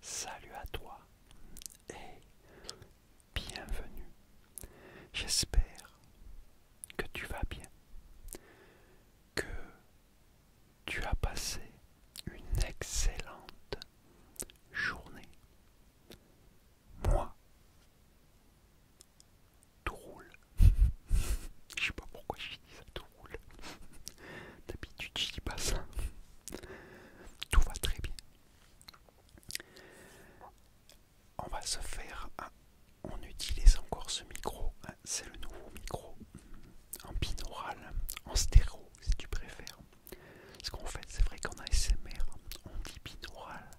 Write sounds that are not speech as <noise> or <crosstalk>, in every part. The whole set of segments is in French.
salut à toi et bienvenue. J'espère que tu vas bien, que tu as passé une excellente journée. Moi, tout roule. <laughs> Je sais pas pourquoi je dis ça, tout roule. <laughs> D'habitude, je dis pas ça. Tout va très bien. On va se faire. on utilise encore ce micro. Hein, c'est le nouveau micro. En binaural, en stéréo si tu préfères. Parce qu'en fait, c'est vrai qu'en ASMR, on dit binaural.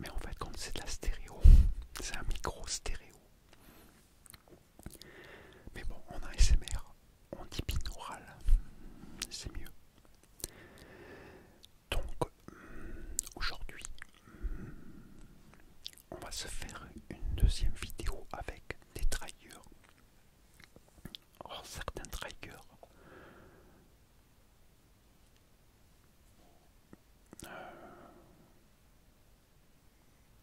Mais en fait, quand c'est de la stéréo, <laughs> c'est un micro stéréo. Mais bon, on a SMR, on dit binaural, c'est mieux. Donc, hmm, aujourd'hui, hmm, on va se faire une deuxième vidéo avec des triggers. Or, oh, certains triggers euh,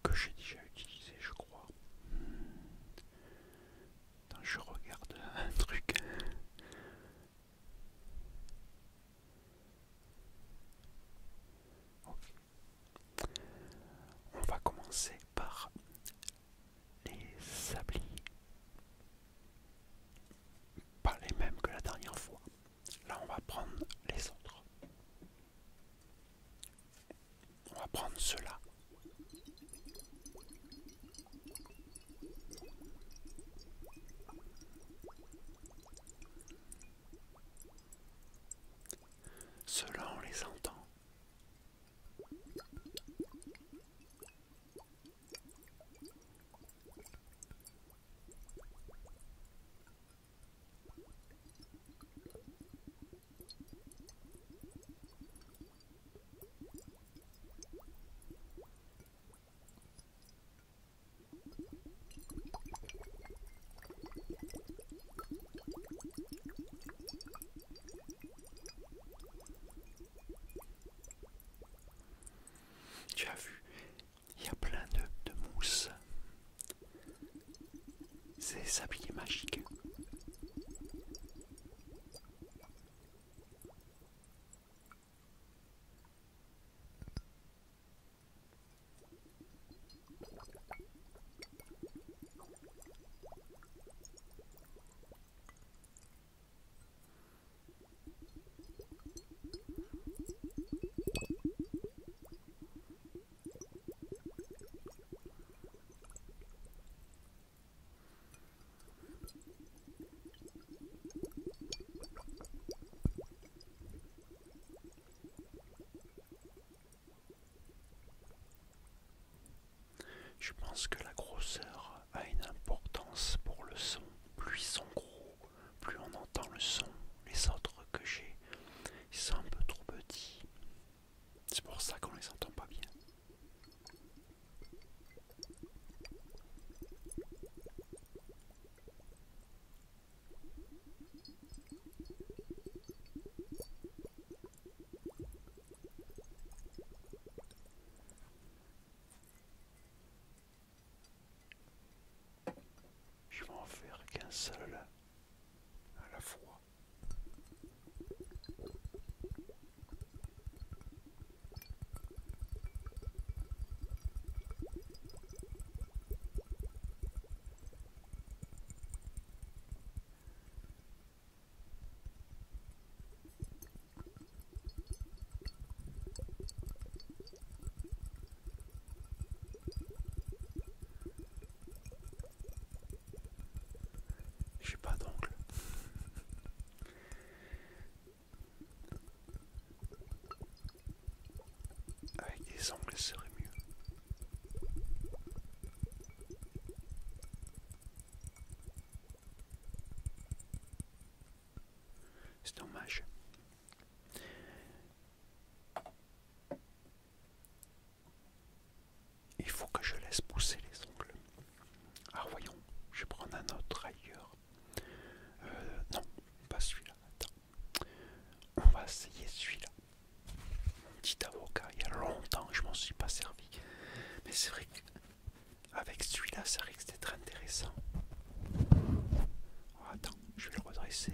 que j'ai déjà utilisé, je crois. Attends, je regarde un truc. On va commencer par les sablis Pas les mêmes que la dernière fois. Là, on va prendre les autres. On va prendre ceux-là. on les entend. Tu as vu, il y a plein de, mousse. C'est s'habiller magique. Je pense que la grosseur a une importance pour le son, plus son gros, plus on entend le son. Les autres que j'ai, ils sont un peu trop petits. C'est pour ça qu'on les entend pas bien. Je vais en faire qu'un seul à la fois. J'ai pas d'ongles Avec des ongles, ce serait mieux. C'est dommage. Il faut que je laisse pousser les ongles. Ah voyons, je vais prendre un autre ailleurs. Euh, non, pas celui-là. On va essayer celui-là. petit avocat, il y a longtemps que je m'en suis pas servi. Mais c'est vrai que avec celui-là, ça risque d'être intéressant. Oh, attends, je vais le redresser.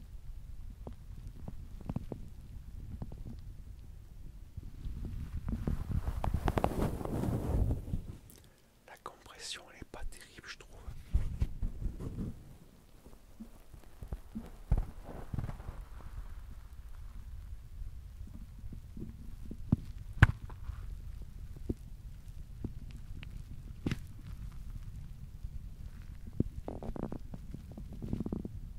La compression n'est pas terrible je trouve.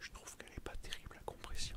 Je trouve qu'elle n'est pas terrible à compression.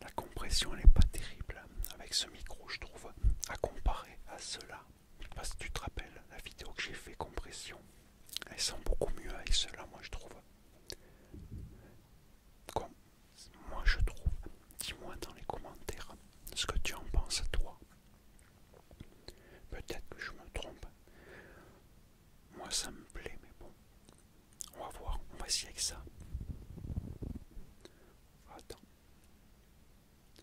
La compression n'est pas terrible avec ce micro je trouve à comparer à cela si tu te rappelles, la vidéo que j'ai fait compression, elle sent beaucoup mieux avec cela, moi je trouve. moi je trouve, dis-moi dans les commentaires ce que tu en penses toi. Peut-être que je me trompe. Moi ça me plaît, mais bon. On va voir, on va essayer avec ça. Attends.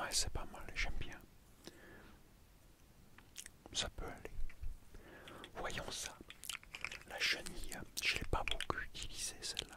Ouais, c'est pas mal, j'aime bien. Ça peut aller. Voyons ça. La chenille, hein. je n'ai pas beaucoup utilisé celle-là.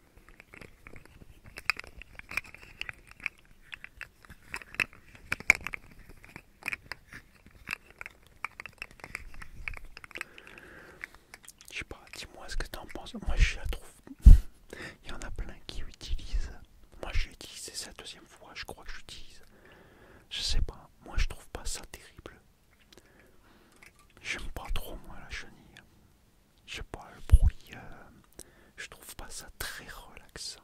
Je sais pas, dis-moi ce que t'en penses. Moi je la trouve. <laughs> Il y en a plein qui utilisent. Moi j'ai utilisé c'est la deuxième fois, je crois que j'utilise. Je sais pas, moi je trouve pas ça terrible. J'aime pas trop moi la chenille je sais pas, le bruit, euh, je trouve pas ça très relaxant.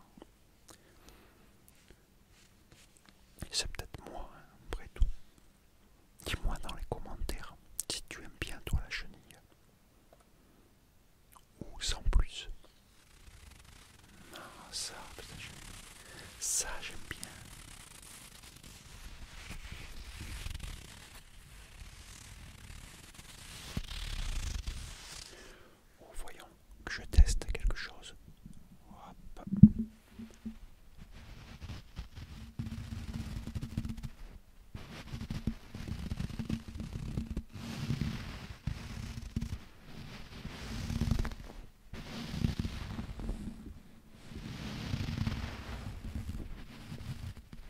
C'est peut-être moi, hein, après tout. Dis-moi dans les commentaires si tu aimes bien toi la chenille. Ou sans plus. ça, ça j'aime bien. Oh, voyons que je teste quelque chose.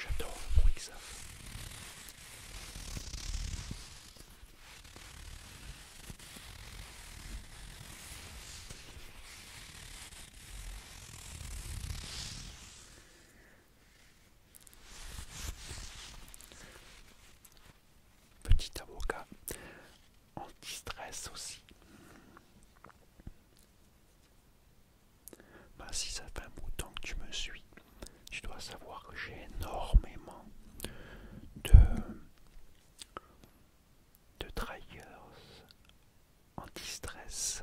J'adore le bruit que ça fait. Petit avocat en distress aussi. Bah si ça fait un bout que tu me suis, tu dois savoir que j'ai énormément de, de trailers anti-stress.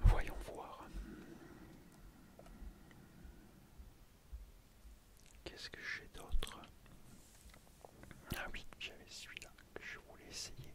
Voyons voir. Qu'est-ce que j'ai d'autre Ah oui, j'avais celui-là que je voulais essayer.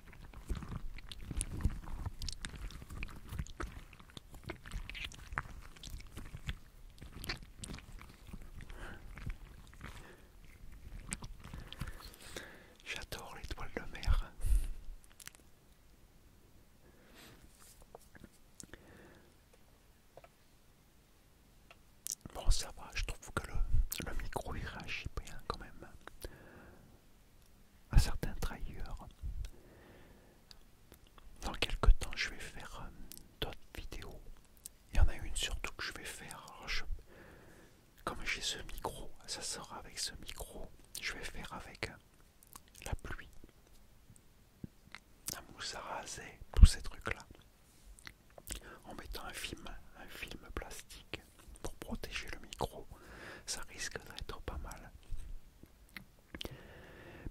J'adore les toiles de mer. Bon ça va, je trouve que le, micro ira bien quand même à certains trahisseur Dans quelques temps, je vais faire euh, d'autres vidéos. Il y en a une surtout que je vais faire. comme j'ai ce micro, ça sera avec ce micro. Je vais faire avec euh, la pluie, la mousse à raser, tous ces trucs-là. En mettant un film, un film plastique pour protéger le micro, ça risque d'être pas mal.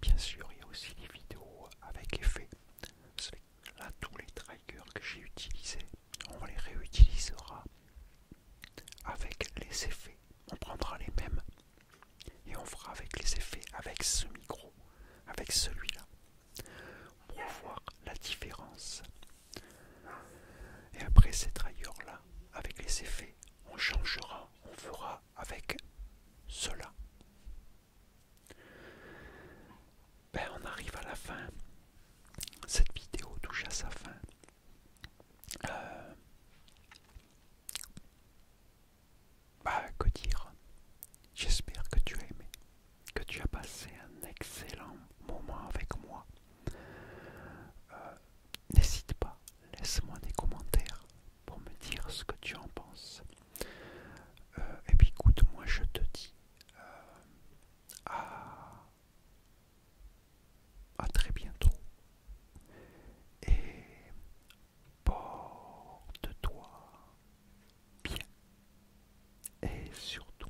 Bien sûr, il y a aussi les vidéos avec effet. Là, tous les triggers que j'ai utilisés, on les réutilisera avec les effets. On prendra les mêmes et on fera avec les effets, avec ce micro, avec celui-là, pour voir la différence et après cette ailleurs-là, avec les effets, on changera, on fera avec cela. Ben, on arrive à la fin. Cette vidéo touche à sa fin. Euh, bah, que dire J'espère que tu as aimé que tu as passé un excellent moment avec moi. Euh, n'hésite pas, laisse-moi des commentaires pour me dire ce que tu en penses. Euh, et puis écoute, moi je te dis euh, à très bientôt. Et porte-toi bien. Et surtout,